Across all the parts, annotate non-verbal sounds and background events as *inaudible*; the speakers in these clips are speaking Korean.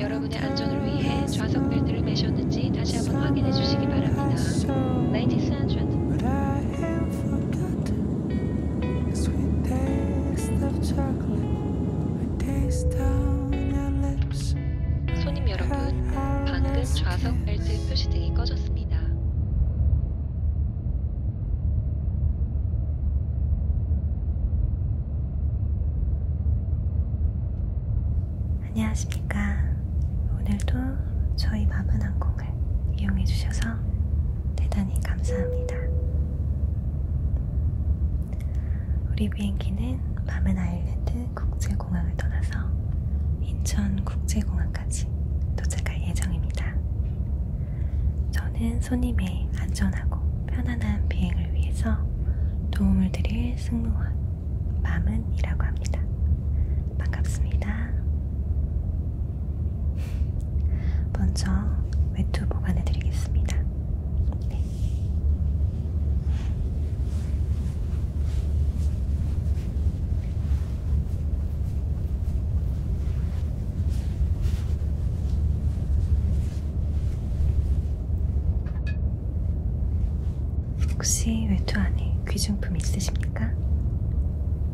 여러분의 안전을 위해 좌석 벨트를 매셨는지 다시 한번 확인해 주시기 바랍니다. 레이디스 앤 젠틀 손님 여러분, 방금 좌석 벨트 표시등이 꺼졌습니다. 안녕하십니까. 오늘도 저희 마음은 항공을 이용해 주셔서 대단히 감사합니다. 우리 비행기는 바멘 아일랜드 국제공항을 떠나서 인천 국제공항까지 도착할 예정입니다. 저는 손님의 안전하고 편안한 비행을 위해서 도움을 드릴 승무원 마은이라고 합니다. 반갑습니다. 먼저 외투 보관해 드리겠습니다. 네. 혹시 외투 안에 귀중품 있으십니까?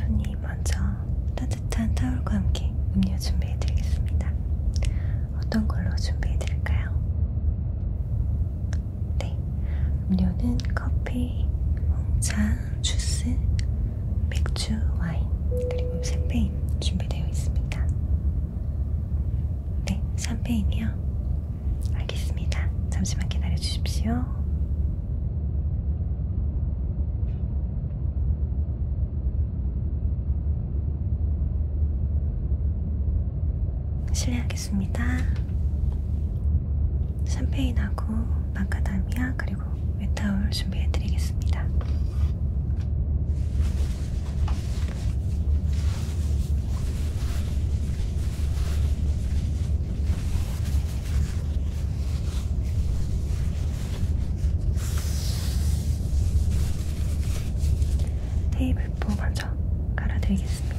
손이 먼저 따뜻한 타올과 함께 음료 준비해드리겠습니다. 어떤 걸로 준비해드릴까요? 네, 음료는 커피, 홍차, 주스, 맥주, 와인, 그리고 샴페인 준비되어 있습니다. 네, 샴페인이요. 알겠습니다. 잠시만 기다려 주십시오. 실례하겠습니다. 샴페인하고 마카다미아 그리고 웨타올 준비해드리겠습니다. 테이블보 먼저 깔아드리겠습니다.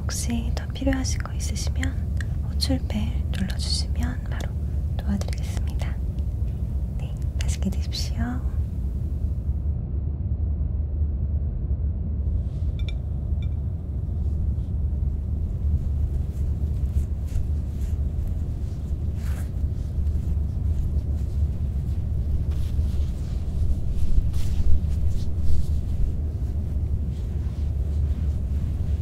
혹시 더 필요하신 거 있으시면 호출벨 눌러주시면 바로 도와드리겠습니다. 네, 맛있게 드십시오. 네,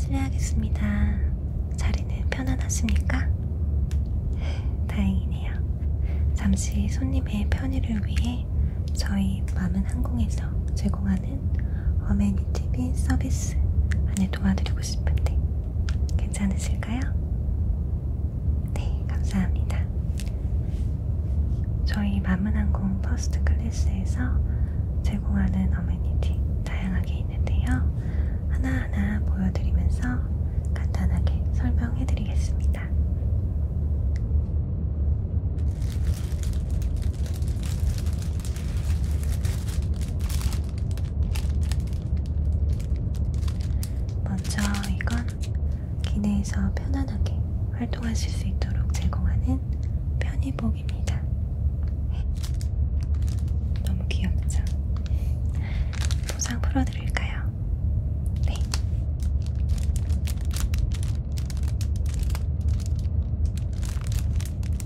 실례하겠습니다. 자리는 편안하십니까? 다행이네요. 잠시 손님의 편의를 위해 저희 맘은 항공에서 제공하는 많은 어메니티 및 서비스 안에 도와드리고 싶은데 괜찮으실까요? 네, 감사합니다. 저희 마문항공 퍼스트 클래스에서 제공하는 어메니티 다양하게 있는데요. 하나하나 보여드리면서 간단하게 설명해드리겠습니다. 먼저 이건 기내에서 편안하게 활동하실 수 있도록 제공하는 편의복입니다. 너무 귀엽죠? 포장 풀어드릴까요? 네.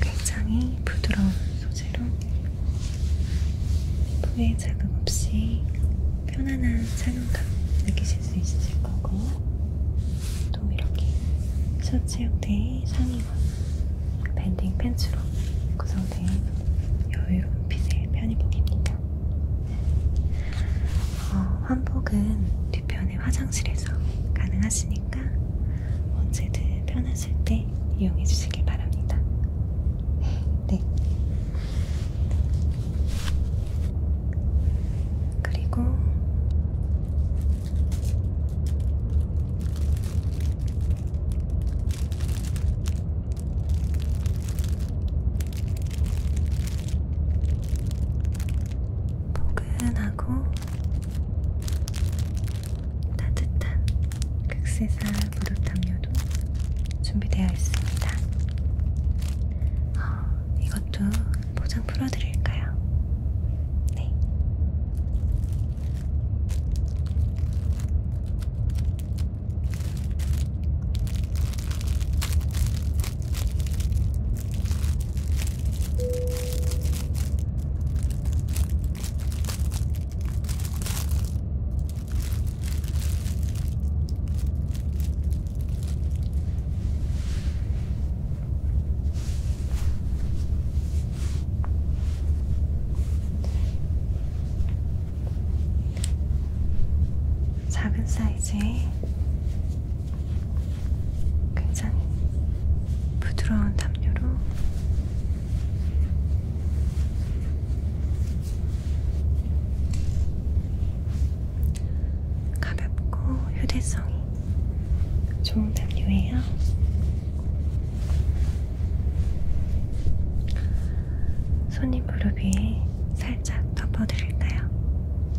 굉장히 부드러운 소재로 피부에 자극 없이 편안한 착용감 느끼실 수 있을 거고 또 이렇게 셔츠 형태의 상의와 밴딩 팬츠로 구성된 여유로운 핏의 편의복입니다. 어, 환복은 뒤편의 화장실에서 가능하시니까 언제든 편하실 때 이용해 주시길 바랍니다. 네. 그리고 포근하고 따뜻한 극세사 무릎 담요도 준비되어 있습니다. 어, 이것도 포장 풀어드릴까요? 네. 작은 사이즈의 굉장히 부드러운 담요로 가볍고 휴대성이 좋은 담요예요. 손이 무릎 위에 살짝 덮어드릴까요?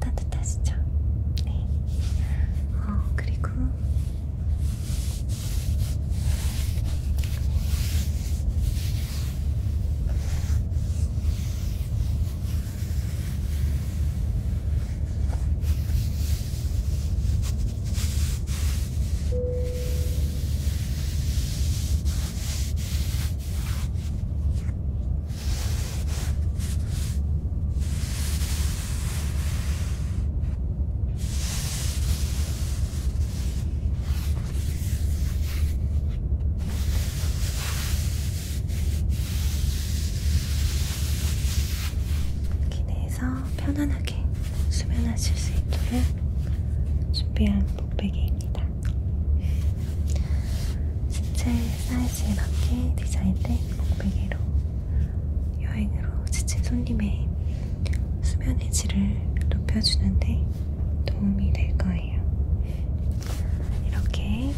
따뜻하시죠? 네. 어, 그리고 네. 기내에서 편안하게 수면하실 수 있도록 준비한 목베개입니다. 신체 사이즈에 맞게 디자인된 목베개로 여행으로 지친 손님의 수면의 질을 높여주는데 도움이 될 거예요. 이렇게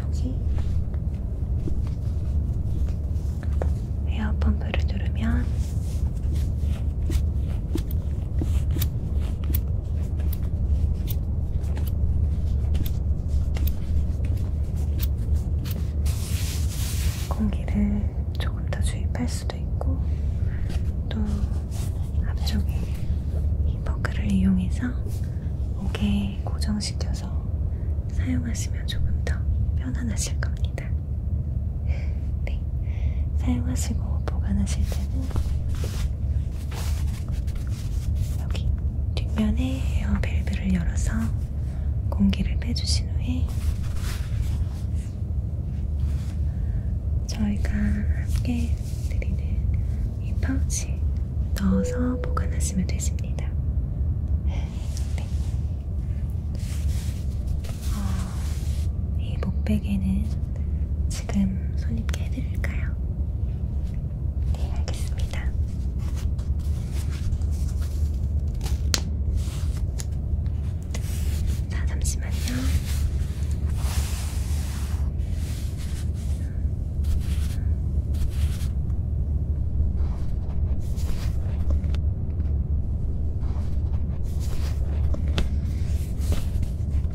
여기 에어펌프를 누르면 공기를 조금 더 주입할 수도 있고, 또 앞쪽에 이 버클을 이용해서 목에 고정시켜서 사용하시면 조금 더 편안하실 겁니다. 네. 이렇게 사용하시고 보관하실 때는 여기 뒷면에 에어밸브를 열어서 공기를 빼주신 후에 저희가 함께 드리는 이 파우치 넣어서 보관하시면 되십니다. 네. 어, 이 목베개는 지금 손님께 해드릴까요? 네, 알겠습니다. 자, 잠시만요.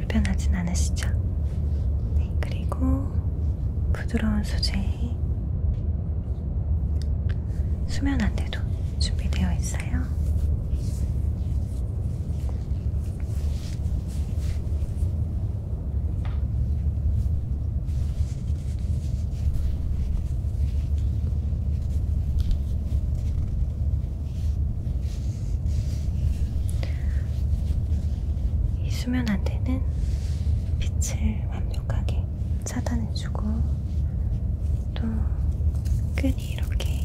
불편하진 않으시죠? 네, 그리고 부드러운 소재 수면 안대도 준비되어 있어요. 이 수면 안대는 빛을 완벽하게 차단해주고 또 끈이 이렇게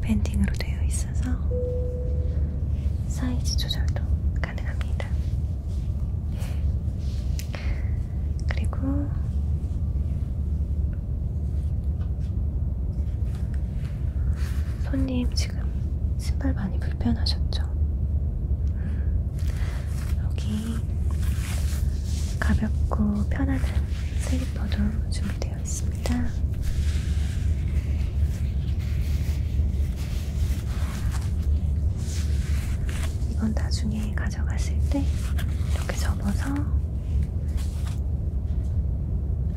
밴딩으로 되어 있어서 사이즈 조절도 가능합니다. 그리고 손님 지금 신발 많이 불편하셨죠? 여기 가볍고 편안한 슬리퍼도 준비되어 있습니다. 이건 나중에 가져가실 때 이렇게 접어서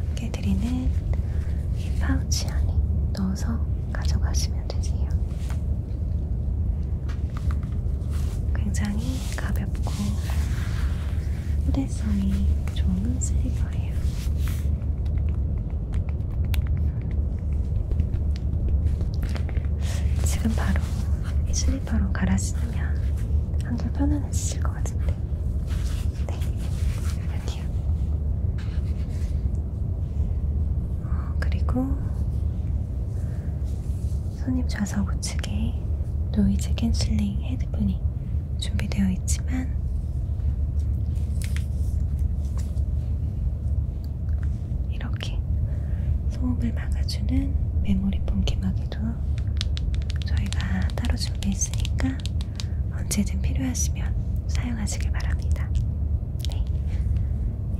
이렇게 해드리는 이 파우치 안에 넣어서 가져가시면 되세요. 굉장히 가볍고 휴대성이 좋은 슬리퍼예요. 지금 바로 이 슬리퍼로 갈아 신으면 한결 편안해지실 것 같은데. 네, 여기요. 어, 그리고 손님 좌석 우측에 노이즈 캔슬링 헤드폰이 준비되어 있지만 이렇게 소음을 막아주는 메모리 폼 기막에도 저희가 따로 준비했으니까 언제든 필요하시면 사용하시길 바랍니다. 네.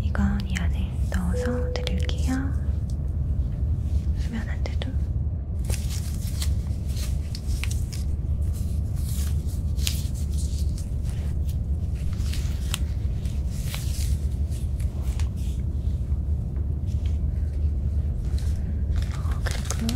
이건 이 안에 넣어서 드릴게요. 쓰면 안 돼도. 어, 그리고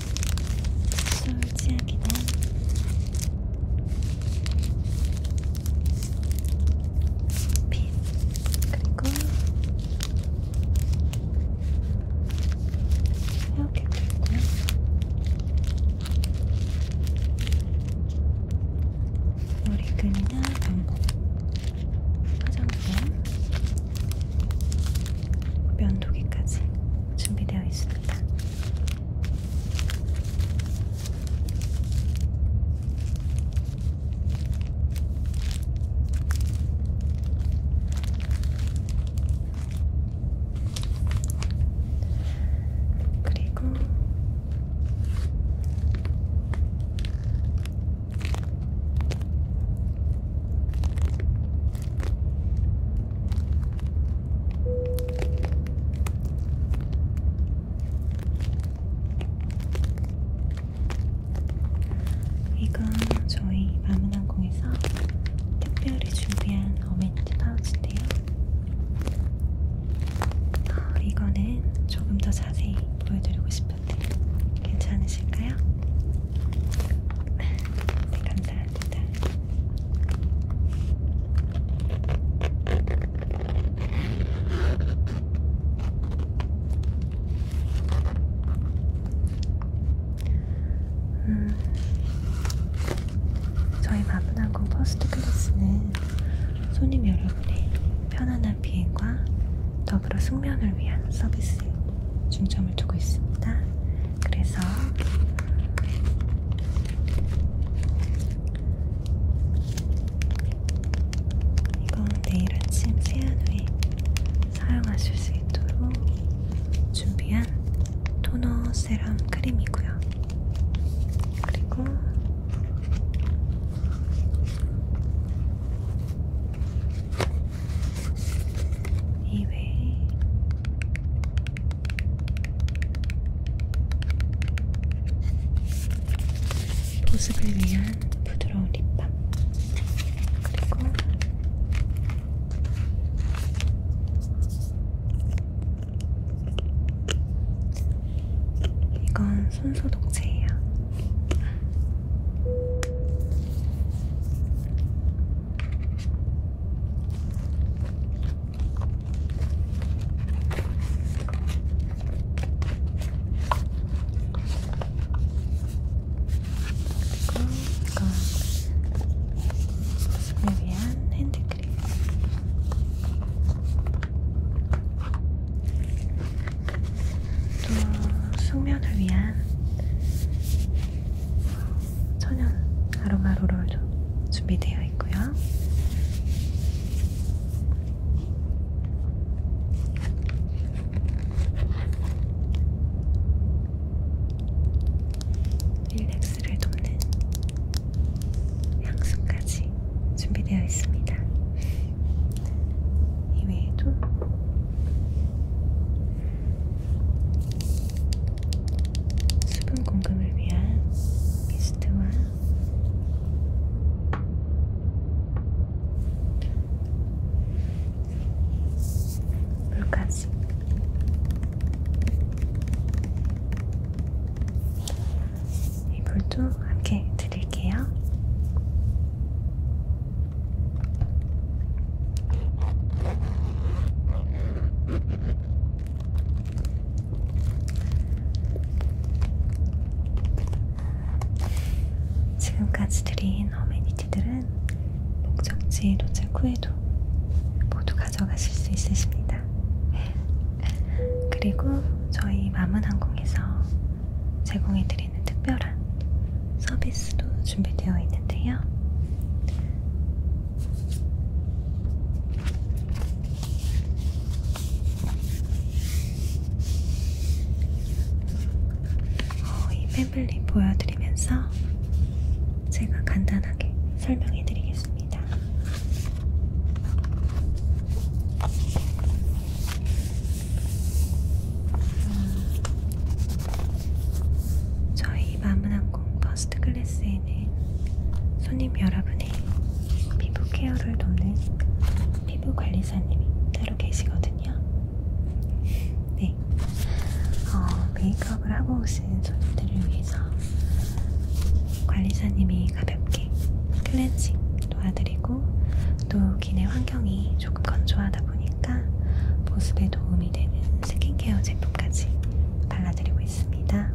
솔직하기는 빛 그리고 이렇게 그리고요. 머리끈이나 방법, 화장품, 면도기까지 준비되어 있습니다. 그리고 이건 저희 마문항공에서 특별히 준비한 어메니티 파우치인데요. 어, 이거는 조금 더 자세히 보여드리고 싶은데 괜찮으실까요? *laughs* 네, 감사합니다. 합니다. 음, 저희 마문항공 퍼스트 클래스는 손님 여러분의 편안한 비행과 더불어 숙면을 위한 서비스에 중점을 두고 있습니다. 그래서 이건 내일 아침 세안 후에 사용하실 수 있도록 준비한 토너 세럼 크림이고요. 그리고 이외에 보습을 위한 부드러운 립밤 그리고 이건 손소독제예요. 이건 위한 핸드크림. 또 숙면을 위한 천연 아로마 롤롤로 준비되어 있고요. 릴렉스를 돕는 향수까지 준비되어 있습니다. 이외에도 수분 공급을 위한 미스트와 물까지 이 물도 함께 드릴게요. 지금까지 드린 어메니티들은 목적지 도착 후에도 모두 가져가실 수 있으십니다. *laughs* 그리고 저희 마문항공에서 제공해드리는 특별한 서비스도 준비되어 있는데요. 어, 이 패블릿 보여드리면서 제가 간단하게 설명해드리겠습니다. 음, 저희 마문항공 버스트 클래스에는 손님 여러분의 피부 케어를 돕는 피부 관리사님이 따로 계시거든요. 네, 어, 메이크업을 하고 오신 손님들을 위해서 관리사님이 가볍게 클렌징 도와드리고 또 기내 환경이 조금 건조하다 보니까 보습에 도움이 되는 스킨케어 제품까지 발라드리고 있습니다.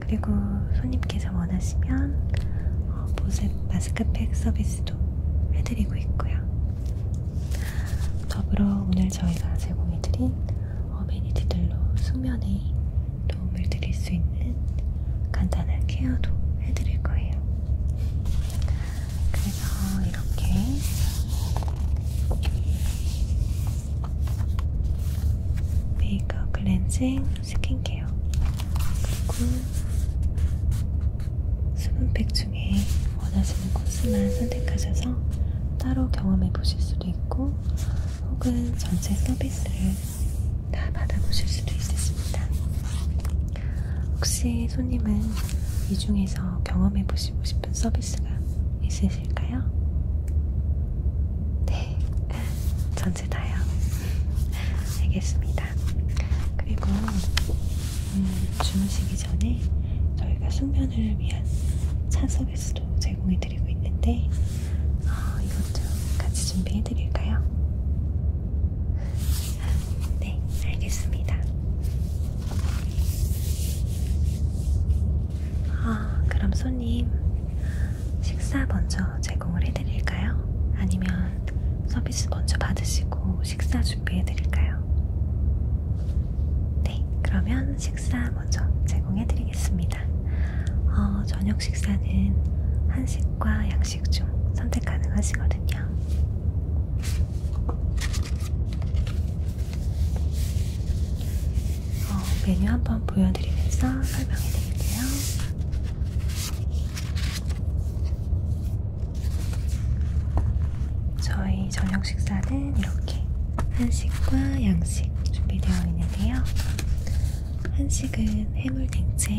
그리고 손님께서 원하시면 어, 보습 마스크팩 서비스도 해드리고 있고요. 더불어 오늘 저희가 제공해드린 어메니티들로 수면에 도움을 드릴 수 있는 간단한 케어도 해드릴 거예요. 그래서 이렇게 메이크업 클렌징 스킨케어 그리고 수분팩 중에 원하시는 코스만 선택하셔서 따로 경험해 보실 수도 있고 혹은 전체 서비스를 다 받아보실 수도 있으십니다. 혹시 손님은 이 중에서 경험해 보시고 싶은 서비스가 있으 계실까요? 네, *laughs* 전체 다요. *laughs* 알겠습니다. 그리고 음, 주무시기 전에 저희가 숙면을 위한 차 서비스도 제공해드리고 있는데 어, 아, 이것도 같이 준비해드릴까요? *laughs* 네, 알겠습니다. 아, 그럼 손님, 식사 먼저 제공을 해드릴까요? 아니면 서비스 먼저 받으시고 식사 준비해드릴까요? 네, 그러면 식사 먼저 제공해드리겠습니다. 어, 저녁 식사는 한식과 양식 중 선택 가능하시거든요. 어, 메뉴 한번 보여드리면서 설명해 드릴게요. 저희 저녁 식사는 이렇게 한식과 양식 준비되어 있는데요. 한식은 해물냉채,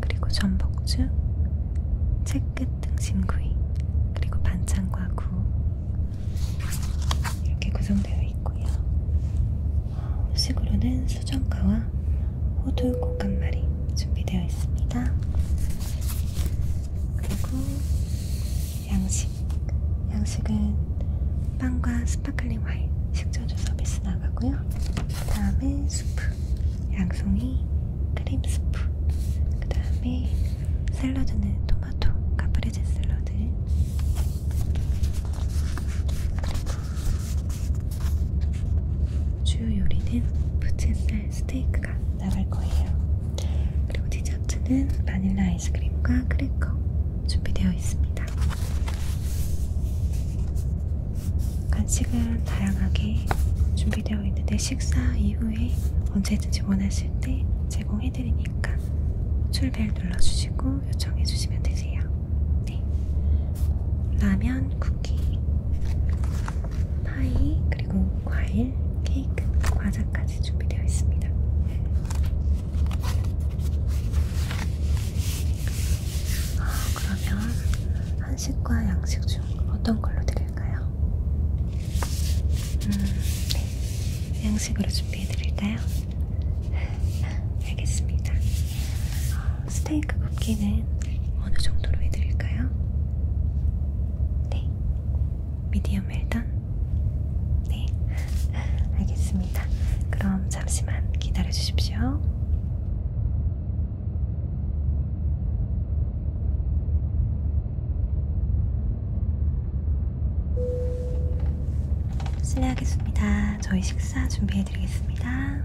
그리고 전복죽, 채끝 등심구이, 그리고 반찬과 구, 이렇게 구성되어 있고요. 후식으로는 수정과와 호두 곶간말이 준비되어 있습니다. 그리고 양식. 양식은 빵과 스파클링 와인, 식전주 서비스 나가고요. 그 다음에 수프, 양송이, 크림 수프. 그 다음에 샐러드는 토마토 카프레제 샐러드 주요 요리는 부채살 스테이크가 나갈 거예요. 그리고 디저트는 바닐라 아이스크림과 크래커 준비되어 있습니다. 간식은 다양하게 준비되어 있는데 식사 이후에 언제든지 원하실 때 제공해 해드리니까 출벨 눌러주시고 요청해주시면 되세요. 네. 라면, 쿠키, 파이, 그리고 과일, 케이크, 과자까지 준비되어 있습니다. 어, 그러면 한식과 양식 중 어떤 걸로 드릴까요? 음, 네. 양식으로 준비해드릴까요? 알겠습니다. 스테이크 굽기는 어느 정도로 해드릴까요? 네. 미디엄 웰던? 네. 알겠습니다. 그럼 잠시만 기다려주십시오. 실례하겠습니다. 저희 식사 준비해드리겠습니다.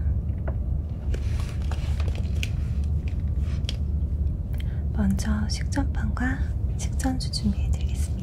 먼저 식전빵과 식전주 준비해드리겠습니다.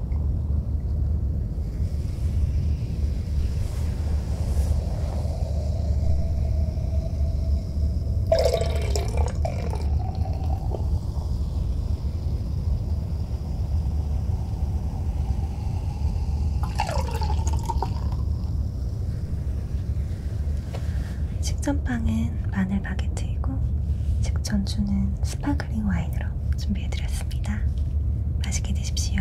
식전빵은 마늘 바게트이고 직전주는 스파 스파클링 와인으로 준비해드렸습니다. 맛있게 드십시오.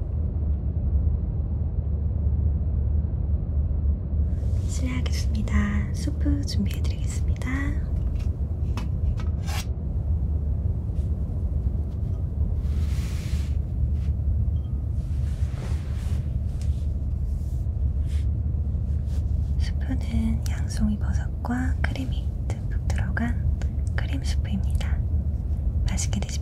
실례하겠습니다. 수프 준비해드리겠습니다. 수프는 양송이 버섯과 크림이 듬뿍 들어간 크림 수프입니다. 맛있게 드십시오.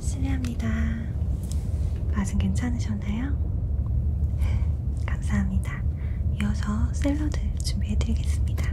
실례합니다. 맛은 괜찮으셨나요? *laughs* 감사합니다. 이어서 샐러드 준비해드리겠습니다.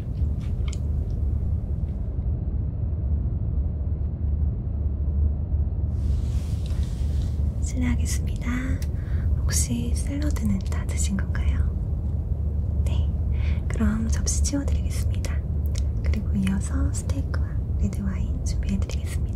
실례하겠습니다. 혹시 샐러드는 다 드신 건가요? 네. 그럼 접시 치워드리겠습니다. 그리고 이어서 스테이크와 레드와인 준비해드리겠습니다.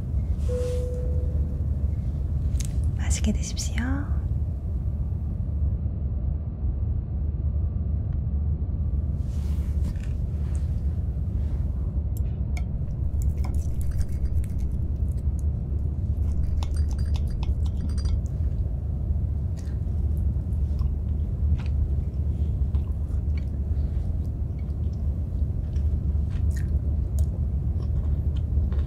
맛있게 드십시오.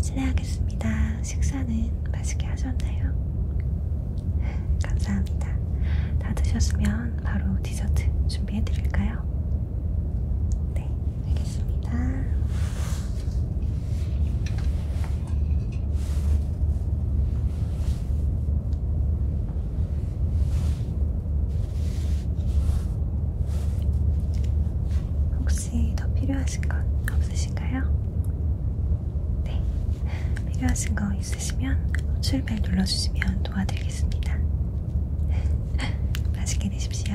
실례하겠습니다. 식사는 맛있게 하셨나요? 감사합니다. 다 드셨으면 바로 디저트 준비해 드릴까요? 네, 알겠습니다. 혹시 더 필요하신 건 없으신가요? 네. 필요하신 거 있으시면 호출벨 눌러주시면 도와드리겠습니다. *laughs* 맛있게 드십시오.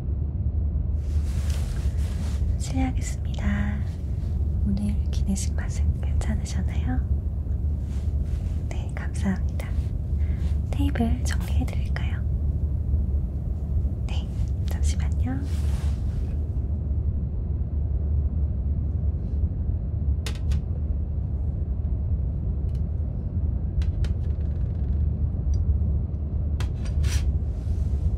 실례하겠습니다. 오늘 기내식 맛은 괜찮으셨나요? 네, 감사합니다. 테이블 정리해드릴까요? 네, 잠시만요.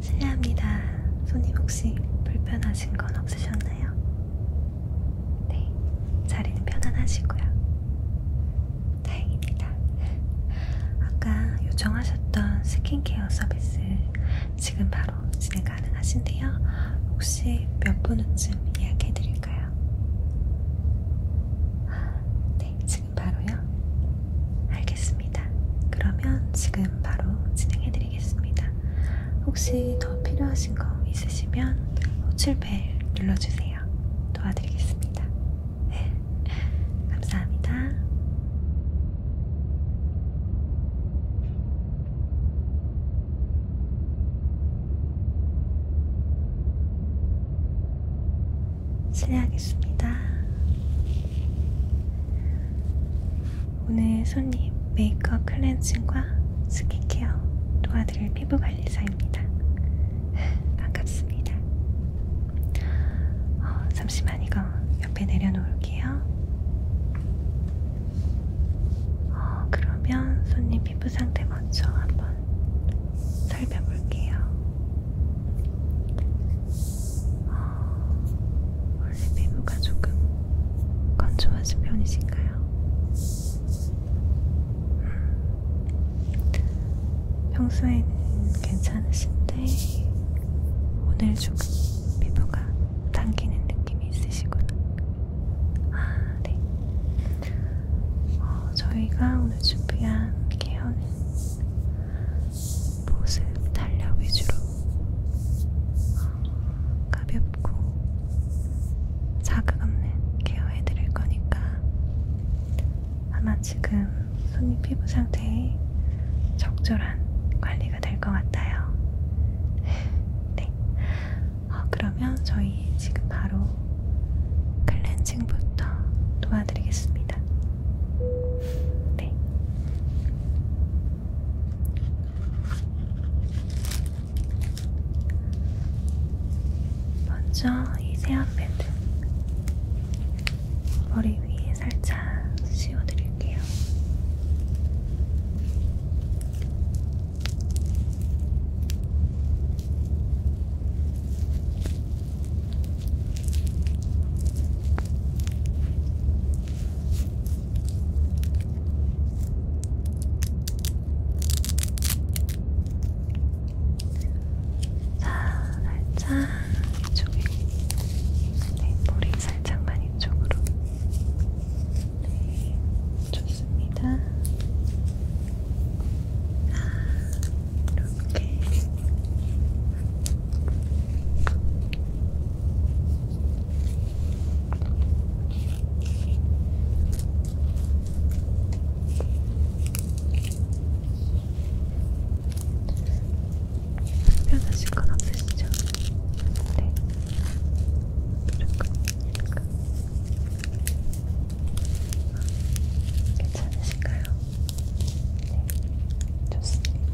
실례합니다. 손님 혹시 불편하신 건 없으셨나요? 네, 자리는 편안하시고요. 다행입니다. 아까 요청하셨던 스킨케어 서비스 지금 바로 진행 가능하신데요. 혹시 몇 분 후쯤 예약해 드릴까요? 네, 지금 바로요. 알겠습니다. 그러면 지금 지금 바로 진행해드리겠습니다. 혹시 더 필요하신 거 있으시면 호출벨 눌러주세요. 도와드리겠습니다. 네. *laughs* 감사합니다. 실례하겠습니다. 오늘 손님 메이크업 클렌징과 스킨케어 도와드릴 피부관리사입니다. *laughs* 반갑습니다. 어, 잠시만 이거 옆에 내려놓을게요. 어, 그러면 손님 피부 상태 먼저 한번 살펴볼게요. 어, 원래 피부가 조금 건조하신 편이신가요? 음, 평소에는 괜찮으신데 오늘 조금 피부가 당기는 느낌이 있으시구나. 아, 네. 어, 저희가 오늘 준비한 케어는 보습 탄력 위주로 가볍고 자극 없는 케어해드릴 거니까 아마 지금 손님 피부 상태에 적절한 관리가 될 것 같아요. *laughs* 네. 어, 그러면 저희 지금 바로 클렌징부터 도와드리겠습니다. 네. 먼저 이 세안 패드 머리 위에 살짝 씌워드릴게요. 자, 살짝 이쪽에 네, 머리 살짝만 이쪽으로 네, 좋습니다. 아, 이렇게 편하실 건 없으시죠? 네. 괜찮으신가요? 네. 좋습니다.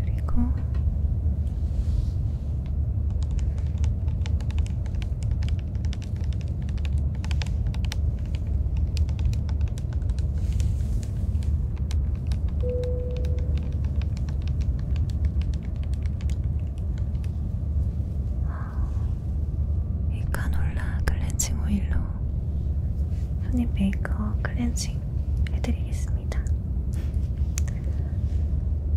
그리고 이 카놀라 클렌징 오일로 손님 메이크업 클렌징 해드리겠습니다.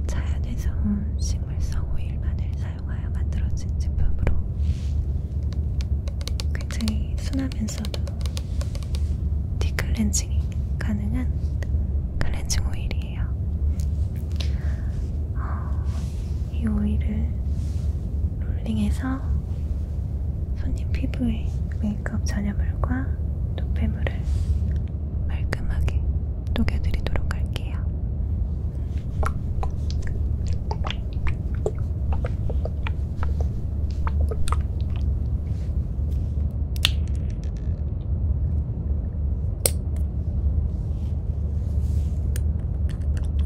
자연에서 온 식물성 오일만을 사용하여 만들어진 제품으로 굉장히 순하면서도 디클렌징이 가능한 클렌징 오일이에요. 어, 이 오일을 롤링해서 손님 피부에 메이크업 잔여물과 노폐물을 말끔하게 녹여드리도록 할게요.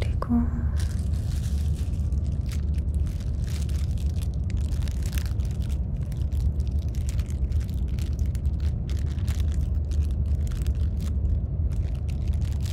그리고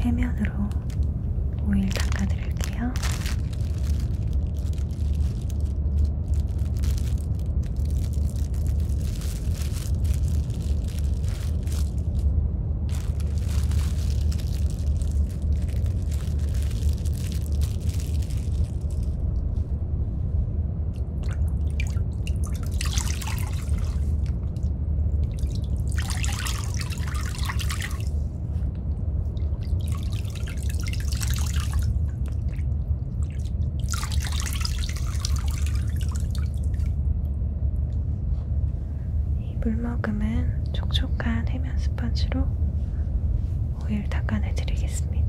해면으로 오일 닦아드릴게요. 물먹음은 촉촉한 해면 스펀지로 오일 닦아내 드리겠습니다.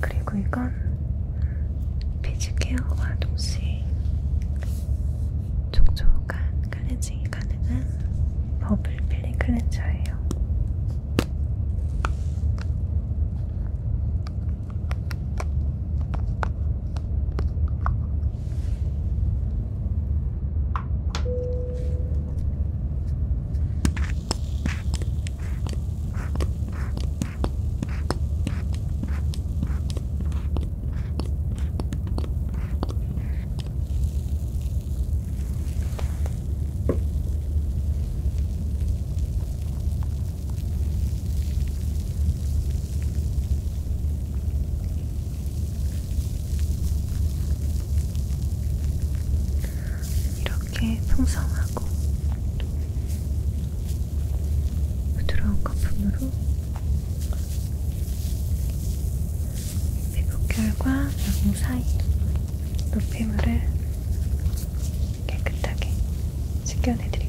그리고 이건 피지케어와 동시에 촉촉한 클렌징이 가능한 버블 필링 클렌저예요. 이렇게 풍성하고 부드러운 거품으로 피부결과 영양 사이 노폐물을 깨끗하게 식혀내드리겠습니다.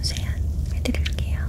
이제 면세안 해드릴게요.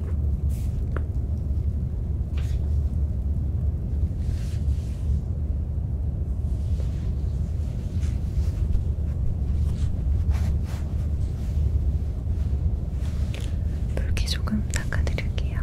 물기 조금 닦아드릴게요.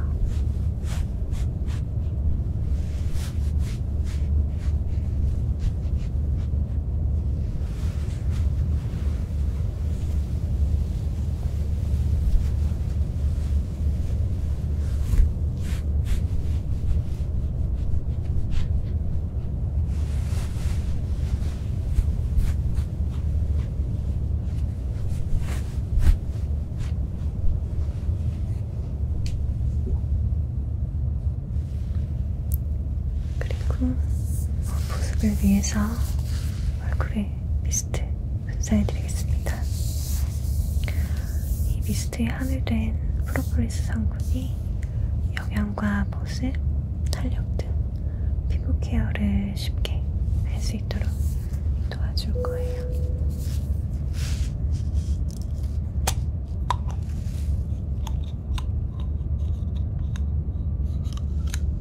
그리고 보습을 어, 위해서 얼굴에 미스트 분사해드리겠습니다. 이 미스트에 함유된 프로폴리스 성분이 영양과 보습, 탄력 등 피부 케어를 쉽게 할 수 있도록 도와줄 거예요.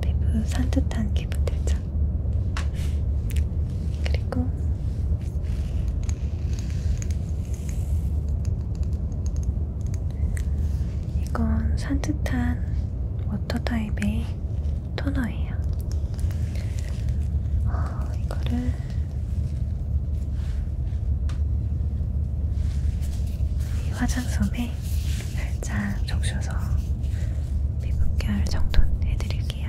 피부 산뜻한 기분 들죠? 그리고 이건 산뜻한 워터 타입의 토너예요. 어, 이거를 이 화장솜에 살짝 적셔서 피부결 정돈 해드릴게요.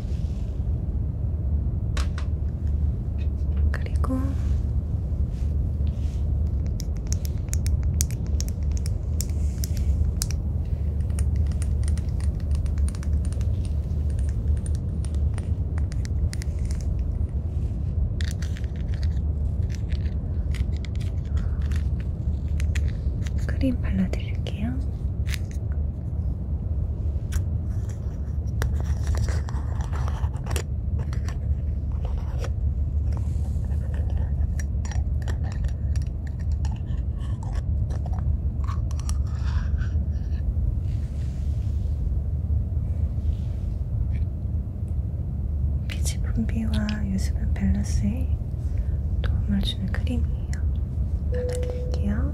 그리고 크림 발라드릴게요. 피지 분비와 유수분 밸런스에 도움을 주는 크림이에요. 발라드릴게요.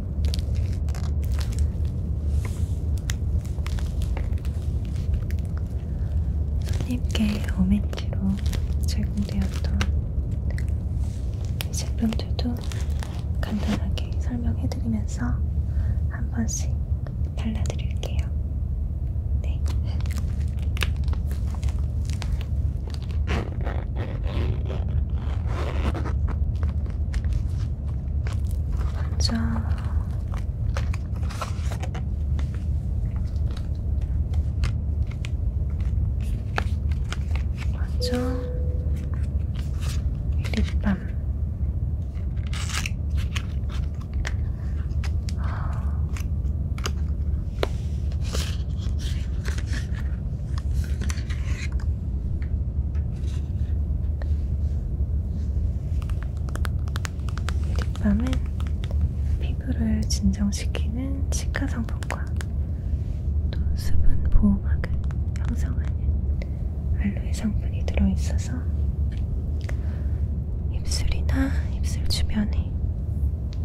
손님께 오멘티로 제공되었던 제품들도 간단하게 설명해드리면서 한 번씩 발라드릴게요. 네. 먼저 먼저 립밤 립밤은 피부를 진정시키는 치카 성분과 또 수분 보호막을 형성하는 알로에 성분이 들어있어서 입술이나 입술 주변에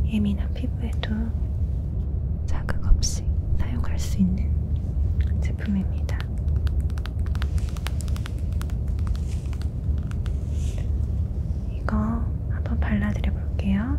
예민한 피부에도 자극 없이 사용할 수 있는 제품입니다. 이거 한번 발라드려 볼게요.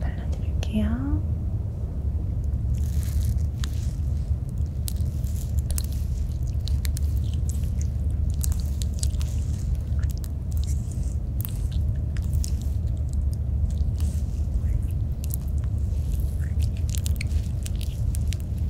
발라드릴게요.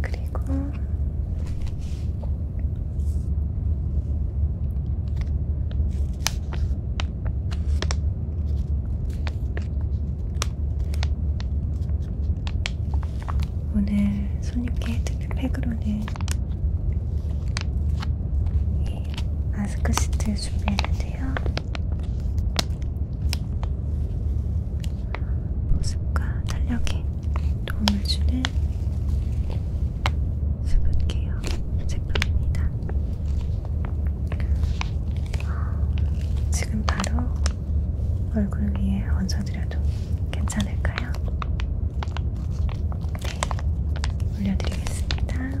그리고 오늘 손님께 헤드팩으로는 이 마스크 시트 준비했는데요. 보습과 탄력에 도움을 주는 수분케어 제품입니다. 지금 바로 얼굴 위에 얹어드려도 괜찮을까요? 네, 올려드리겠습니다.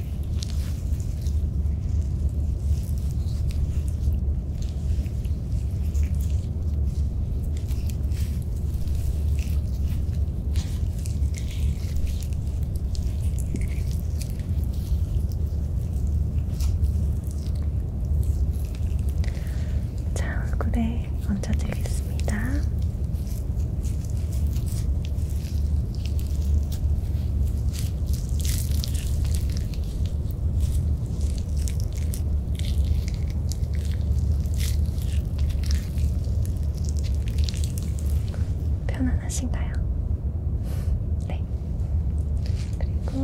자, 얼굴에 얹어드리겠습니다. 편안하신가요? 네. 그리고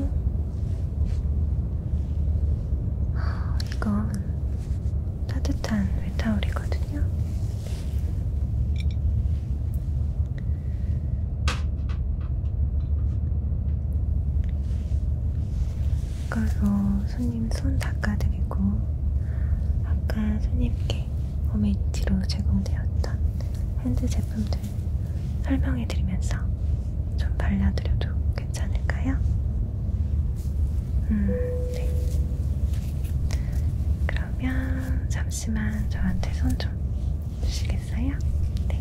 어, 이건 따뜻한 외타올이거든요. 가서 손님 손 닦아드리고 아까 손님께 어메이티로 제공되었던 핸드 제품들 설명해드리면서 좀 발라드려도 괜찮을까요? 음, 네. 그러면 잠시 잠시만 저한테 손 좀 주시겠어요? 네.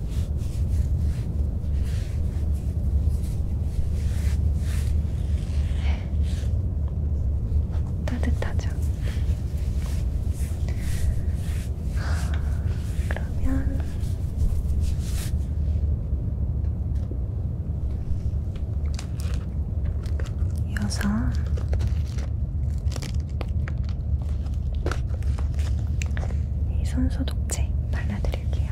따뜻하죠? 그러면 이어서 이 손소독제 발라드릴게요.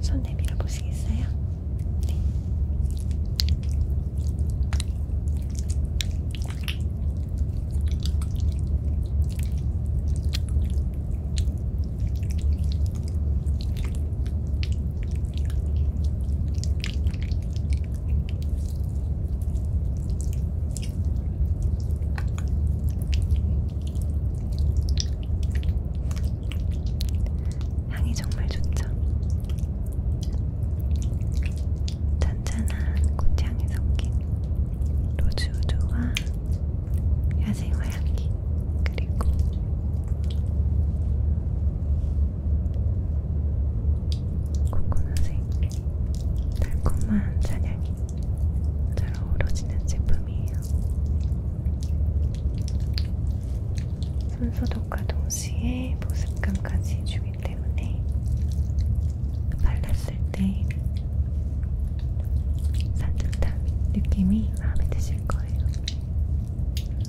손 내밀어 보시겠어요? 네. 향이 정말 좋죠. 잔잔한 꽃향이 섞인 로즈 우드와 야생화 향기 그리고 코코넛의 달콤한 잔향이 잘 어우러지는 제품이에요. 손소독과 동시에 보습감까지 주기 때문에 발랐을 때 산뜻한 느낌이 마음에 드실 거예요.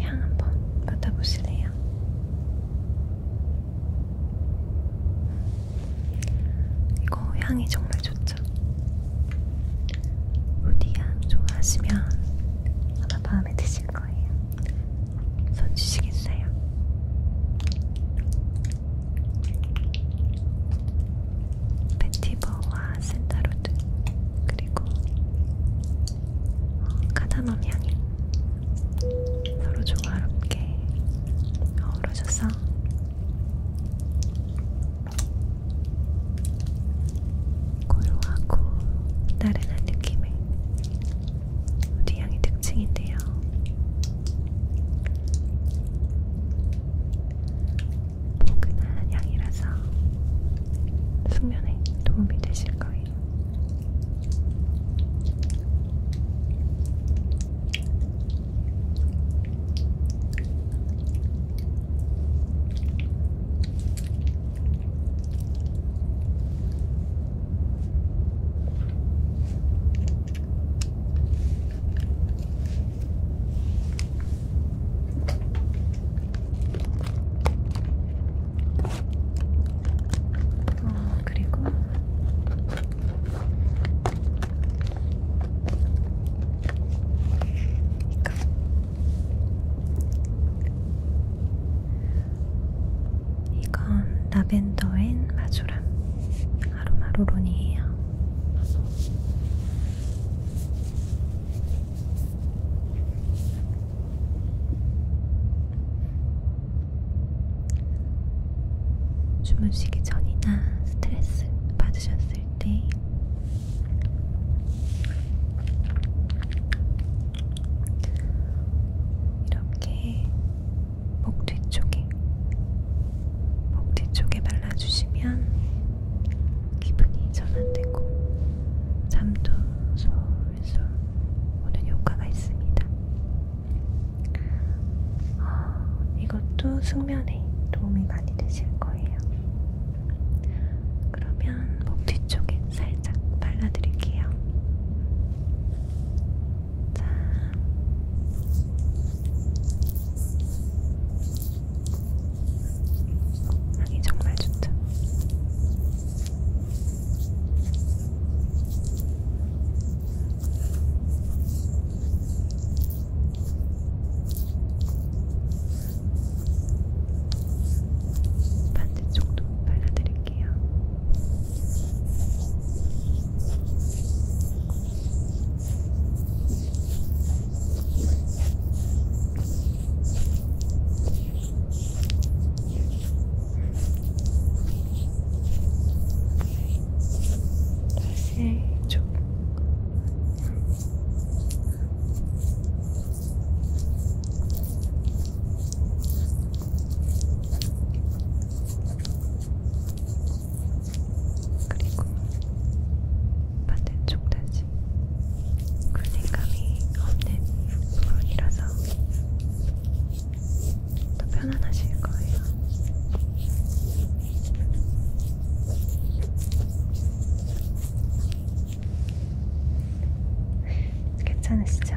향 한번 맡아보실래요? 이거 향이 정말 좋죠? 우디향 좋아하시면 아마 마음에 드실 거예요. 손 주시겠어요? 베티버와 센타로드 그리고 어, 카다멈 향이 서로 조화롭게 어우러져서 고요하고 나른한 느낌의 우리 향의 특징인데요. 포근한 향이라서 숙면에 도움이 되실 거예요. 어, 그리고 이거 이건 라벤더 앤 마조람 아로마 로론이에요. 주무시기 전이나 스트레스 받으셨을 때 이렇게 목 뒤쪽에 목 뒤쪽에 발라주시면 기분이 전환되고 잠도 솔솔 오는 효과가 있습니다. 어, 이것도 숙면에 도움이 많이 되실 거예요. 그러면 목 뒤쪽에 살짝 발라드릴게요. 자, 향이 정말 좋다. 반대쪽도 발라드릴게요. 다시 쪽 그리고 반대쪽 다시 굴색감이 그 없는 부분이라서 더 편안하실 거예요. 괜찮으시죠?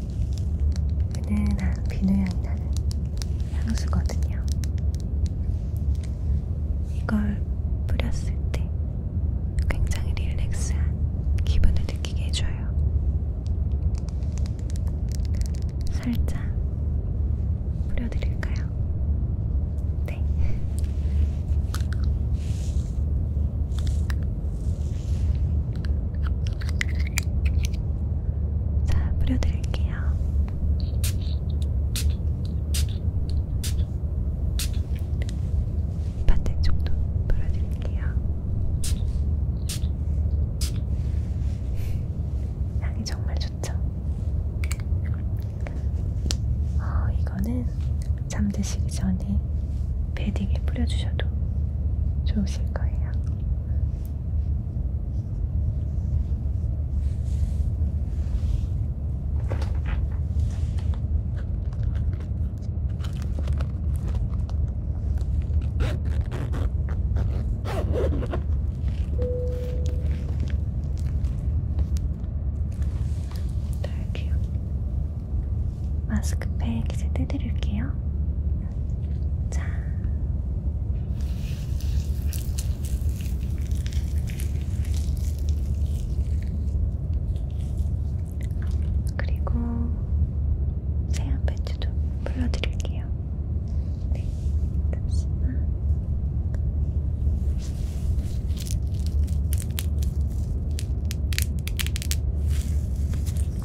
은은한 비누향이 나는 향수거든요. 이걸 뿌렸을 때 굉장히 릴렉스한 기분을 느끼게 해줘요. 살짝 뿌려드릴까요? 네. 자, 뿌려드릴게요. 반대쪽도 뿌려드릴게요. 향이 정말 좋죠? 어, 이거는 잠드시기 전에 베딩에 뿌려주셔도 좋으실 거예요. 네, 마스크팩 이제 떼드릴게요. 자. 그리고 세안 배추도 불러드릴게요. 네, 잠시만.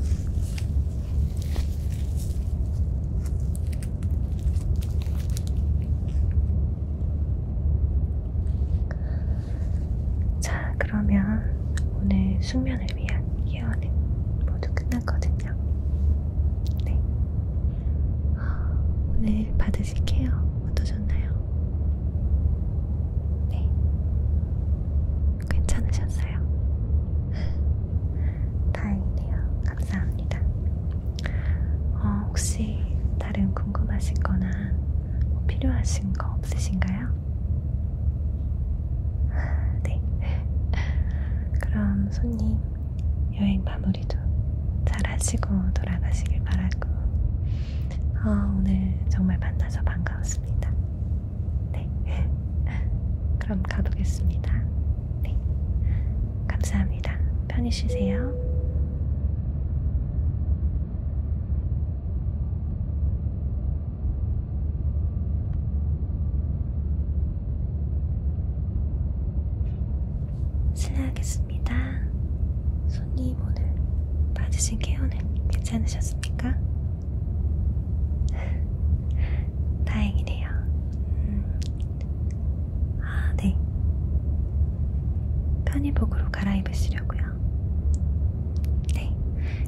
자, 자, 그러면 오늘 숙면을 위한 케어는 모두 끝났거든요. 네. 오늘 받으실 케어 어떠셨나요? 네. 괜찮으셨어요? 다행이네요. 감사합니다. 어, 혹시 다른 궁금하신 거나 뭐 필요하신 거 없으신가요? *laughs* 네. *laughs* 그럼 손님 여행 마무리도 잘 하시고 돌아가시길 바라고 어, 오늘 정말 만나서 반가웠습니다. 네. *laughs* 그럼 가보겠습니다. 네. 감사합니다. 편히 쉬세요. 실례하겠습니다. 손님 오늘 받으신 케어는 괜찮으셨습니까? 다행이네요. 음. 아, 네. 편의복으로 갈아입으시려고요. 네.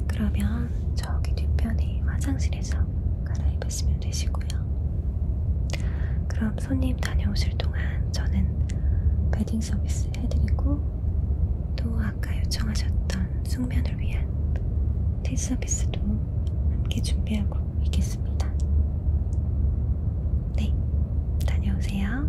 그러면 저기 뒤편에 화장실에서 갈아입으시면 되시고요. 그럼 손님 다녀오실 동안 저는 베딩 서비스 해드리고 또 아까 요청하셨던 숙면을 위한 티 서비스도 함께 준비하고 있겠습니다. 네, 다녀오세요.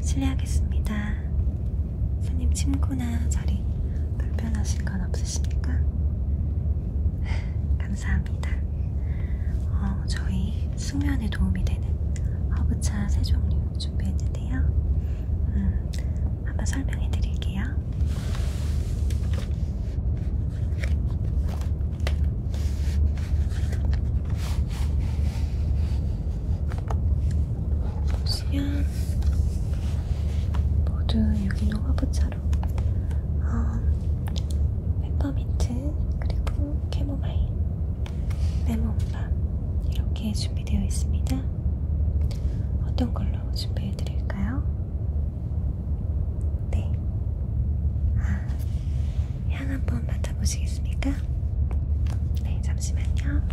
실례하겠습니다. 손님 침구나 자리 불편하신 건 없으십니까? 감사합니다. 어, 저희 숙면에 도움이 되는 허브차 세 종류 준비했는데요. 음, 한번 설명해 드릴게요. 수양 모두 유기농 화부차로 어, 음, 페퍼민트 그리고 캐모마일 레몬밤 이렇게 준비되어 있습니다. 어떤 걸로 준비해 드릴까요? 네. 아, 향 한번 맡아보시겠습니까? 네, 잠시만요. 네,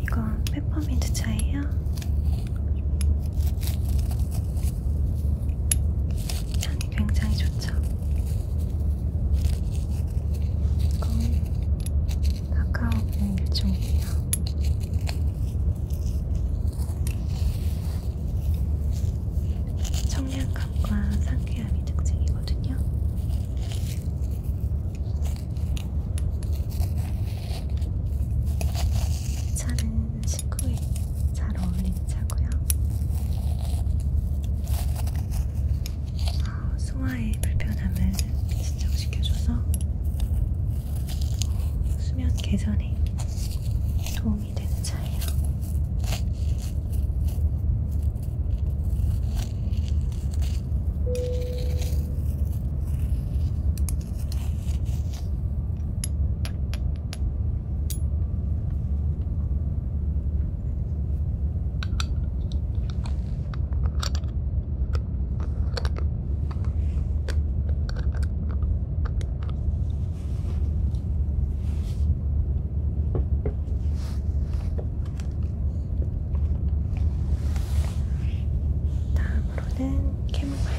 이건 페퍼민트 차예요. 향이 굉장히 좋죠. 이건 카카오의 일종이에요. 청량감과 상쾌함이 특징이거든요. 차는 식후에 잘 어울리는 차고요. 어, 소화의 불편함을 진정시켜줘서 어, 수면 개선에 도움이 되는 차예요. 다음으로는 캐모마일.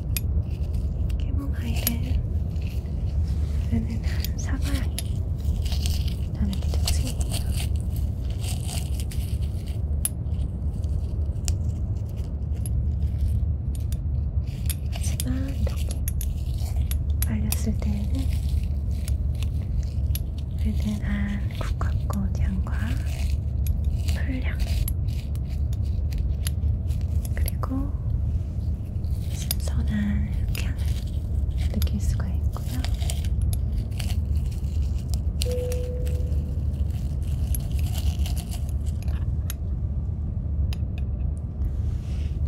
캐모마일은 은은한 사과향이 나는 게 특징이에요. 하지만 이렇게 말렸을 때는 은은한 국화꽃 향과 풀향 그리고 신선한 흑향을 느낄 수가 있고요.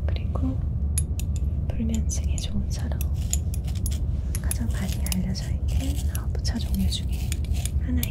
그리고 불면증에 좋은 차로 가장 많이 알려져 있는 아홉 차 종류 중에 하나입니다.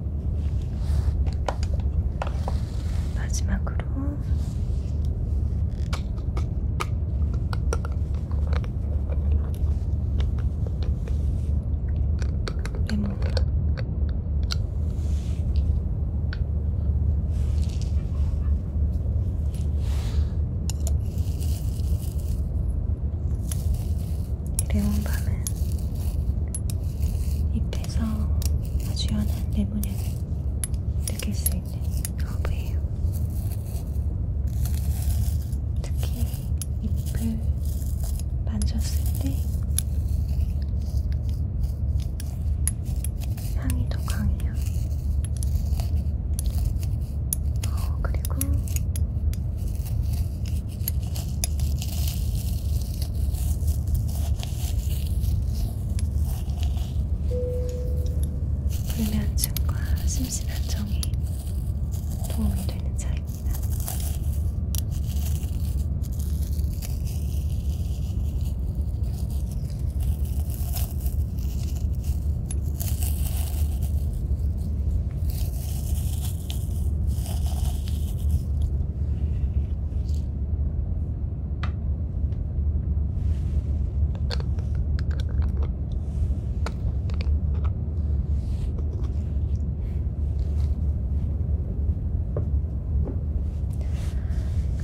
마지막으로 레몬 레몬밤은 입에서 아주 연한 레몬향을 느낄 수 있는 허브예요. 특히 잎을 만졌을 때 향이 더 강해요. 어, 그리고 불면증과 심신 안정에 도움이 되는 차입니다.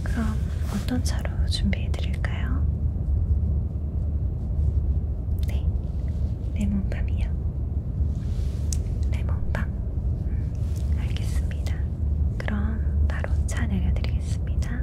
그럼 어떤 차로 준비해 드릴까요? 네, 레몬밤이요. 레몬빵? 음, 알겠습니다. 그럼 바로 차 내려드리겠습니다.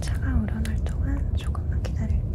차가 우러날 동안 조금만 기다릴게요.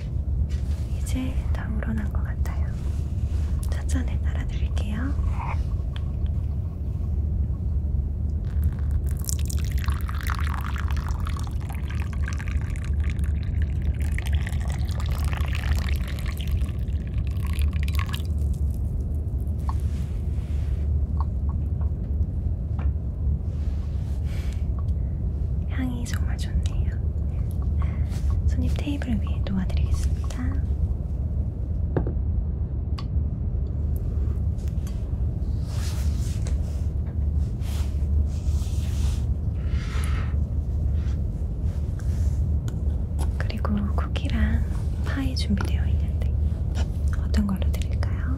이제 다 우러난 것 같아요. 천천히 따라드릴게요. 향이 향이 네, 정말 좋네요. 손님 테이블 위에 놓아드리겠습니다. 그리고 쿠키랑 파이 준비되어 있는데 어떤 걸로 드릴까요?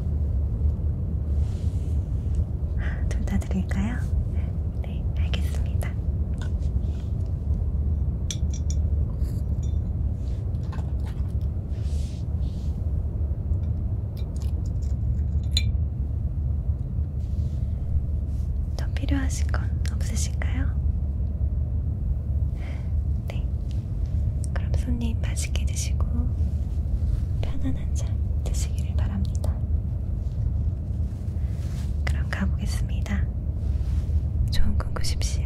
둘다 감싸드릴까요? 네, 알겠습니다. 더 필요하신 건 없으신가요? 네. 그럼 손님 맛있게 드시고 편안한 잠 드시기를 바랍니다. 그럼 가보겠습니다. 좋은 꿈 꾸십시오.